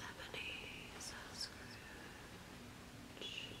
Ebenezer Scrooge. Ebenezer Scrooge.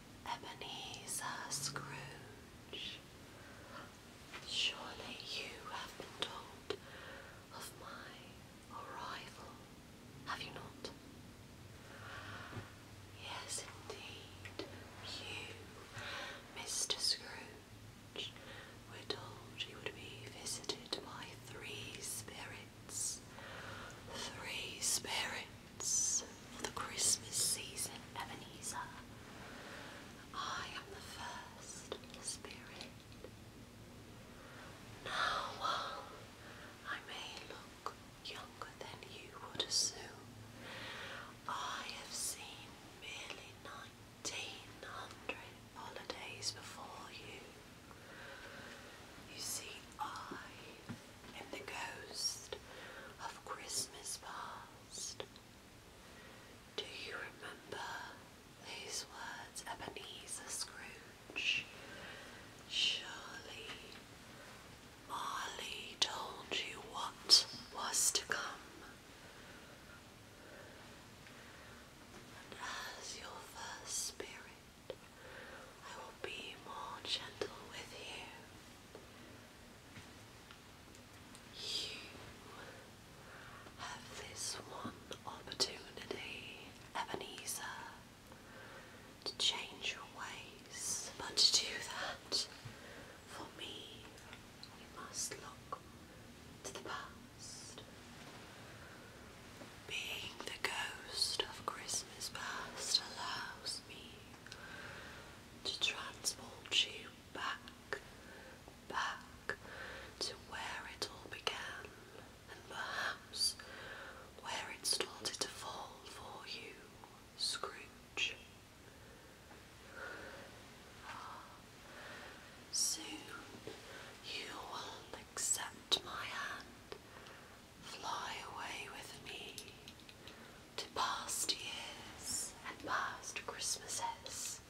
Ebenezer Scrooge, surely you have been told of my arrival, have you not? Yes, indeed, you, Mr. Scrooge, were told you would be visited by three spirits. Three spirits for the Christmas season, Ebenezer. I am the first spirit. Now, um, I may look younger than you would assume, I have seen merely nineteen hundred holidays before you. You see, I and the ghost of Christmas past. Do you remember these words, Ebenezer Scrooge? Surely Marley told you what was to come. And as your first spirit I will be more gentle with you. You have this one opportunity, Ebenezer, to change your ways. But to do that, for me, you must look to the past. Being the ghost of Christmas past allows to transport you back, back to where it all began and perhaps where it started to fall for you, Scrooge. Ah, soon you will accept my hand Fly away with me to past years and past Christmases.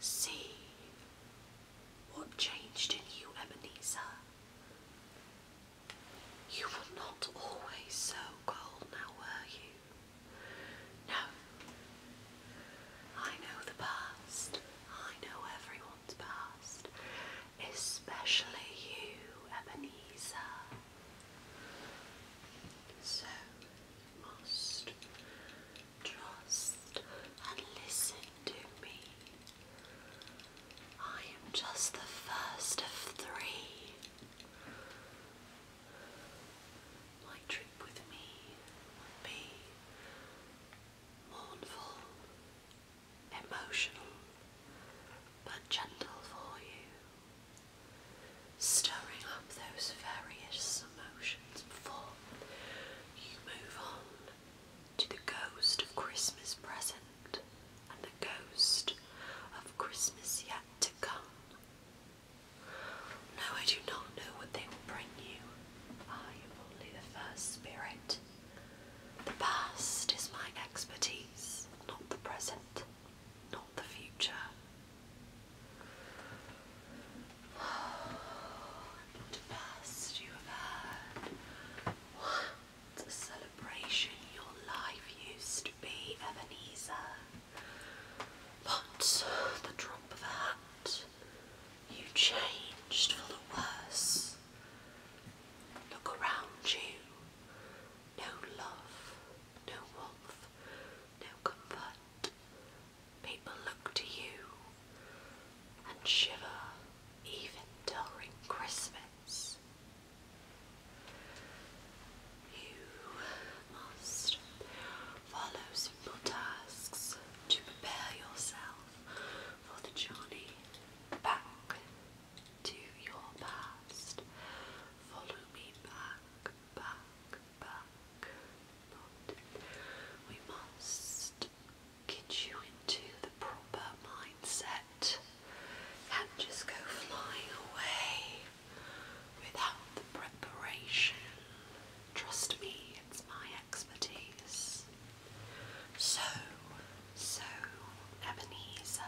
See what changed in you, Ebenezer. You were not always so cold now, were you? No. I know the past. I know everyone's past especially you, Ebenezer. So must trust and listen to me. I am just the first of three. My trip with me will be mournful, emotional but gentle for you, stirring up those various emotions before you move on to the ghost of Christmas present and the ghost of Christmas yet to come. No, I do not know what they will bring you. I am only the first spirit the past is my expertise, not the present, not the future. not a past you have had. What a celebration your life used to be, Ebenezer. But the drop of a you changed for the worse. Look around you. No love, no warmth, no comfort. People look to you and shiver even during Christmas. You must follow simple tasks to prepare yourself for the journey back to your past. Follow me back, back, back. we must get you into the proper mindset and just go flying away without the preparation. Trust me, it's my expertise. So, so, Ebenezer,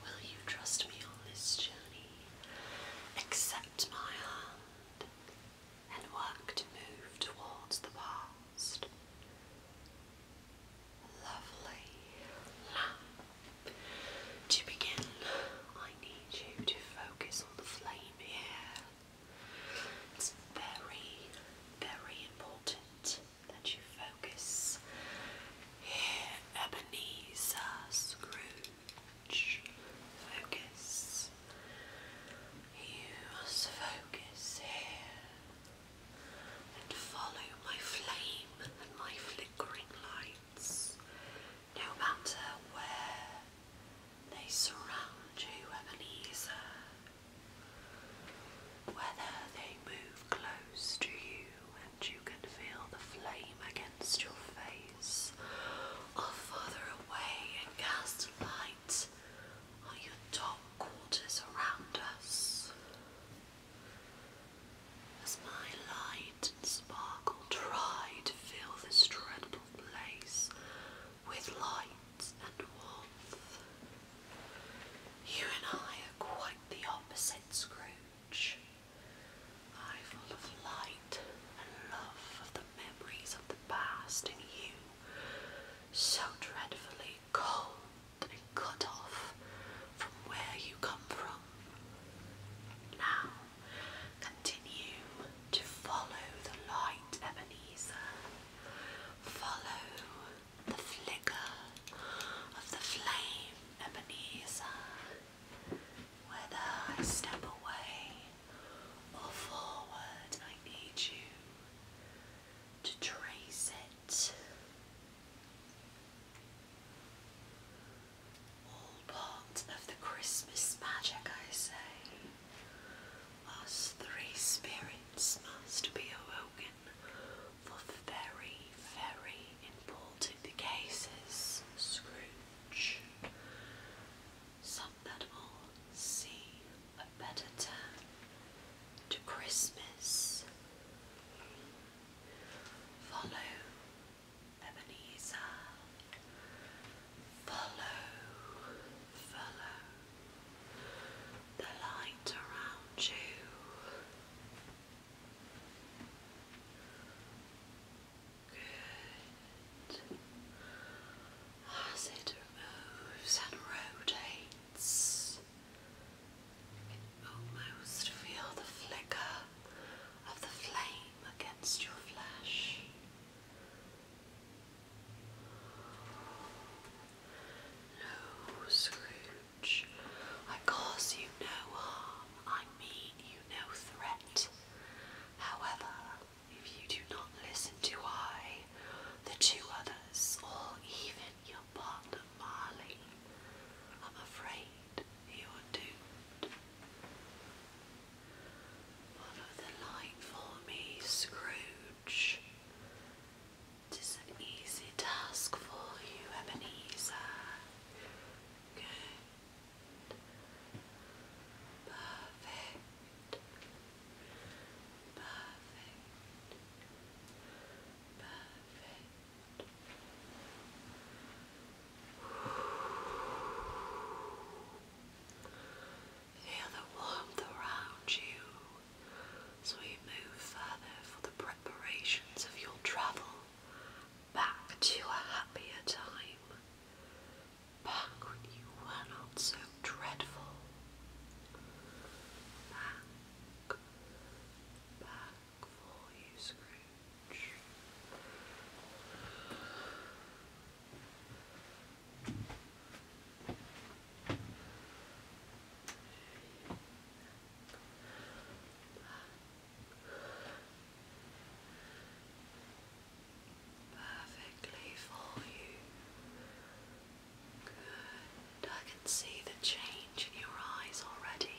will you trust me on this journey? Accept my hand and work to move towards the past. Lovely. Now, to begin, I need you to focus on the flame here. It's very, very important that you focus here, Ebenezer Scrooge. Focus. You must focus here and follow my flame and my flickering lights, no matter where they surround you, Ebenezer. Whether they move close to you and you can feel the flame against your face, or further away and cast light on your dark quarters around us. As my light and sparkle try to fill this dreadful place with light and warmth. You and I are quite the opposite, Scrooge. I full of light and love of the memories of the past, and you so dreadfully cold and cut off from where you come from. Now, continue to follow the light, Ebenezer. Follow the flicker of the flame, Ebenezer. Whether I step away or forward, I need you to trace it. All part of the Christmas magic, I say. Us three spirits must be awoken for very, very important cases, Scrooge. Some that will see a better turn to Christmas. Follow Ebenezer. Follow, follow, the light around you. Good. As moves and rotates, almost feel the flicker of the flame against your flesh. No, Scrooge, I cause you no harm, I mean you no threat. However, if you do not listen to I, the two others, or even your partner Marley, I'm afraid you are doomed. Follow the light for me, Scrooge. It is an easy task for you, Ebenezer. Good. Perfect. Perfect. Perfect. Feel the warmth around you so we move further for the preparations of your travel back to a happier time, back when you were not so dreadful. Back, back for you, Scrooge. Perfectly for you. Good. I can see the change in your eyes already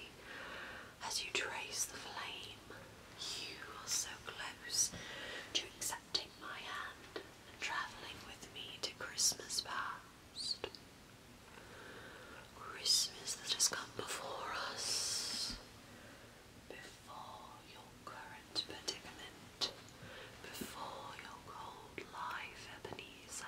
as you trace the flame. You are so close to accepting my hand travelling with me to Christmas past. Christmas that has come before us, before your current predicament, before your cold life, Ebenezer.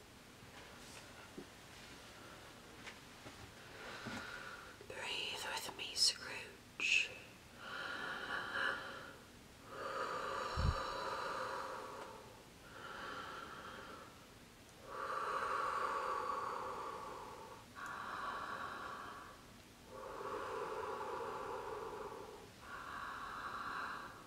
Breathe with me, Scrooge.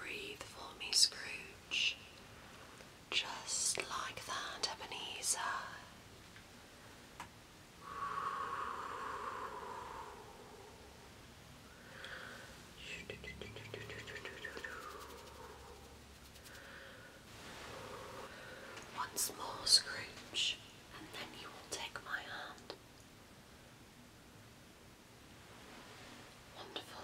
Breathe for me, Scrooge, just like that, Ebenezer. Once more, Scrooge, and then you will take my hand Wonderful.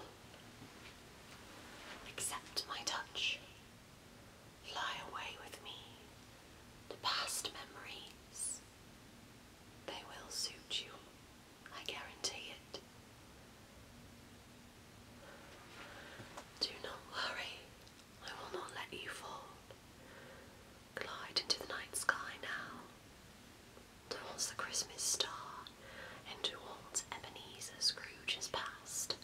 Accept my touch. Fly away with me to past memories. They will suit you, I guarantee it. Do not worry, I will not let you fall. Glide into the night sky now, towards the Christmas star, and towards Ebenezer Scrooge's past.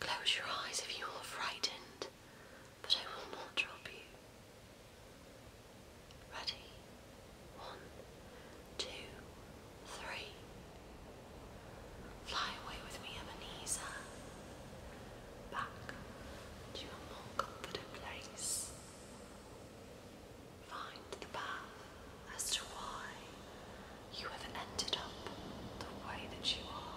Close your eyes if you are frightened, but I will not drop you. Ready? One, two, three. Fly away with me, Ebenezer back to your more comfortable place. Find the path as to why you have ended up the way that you are.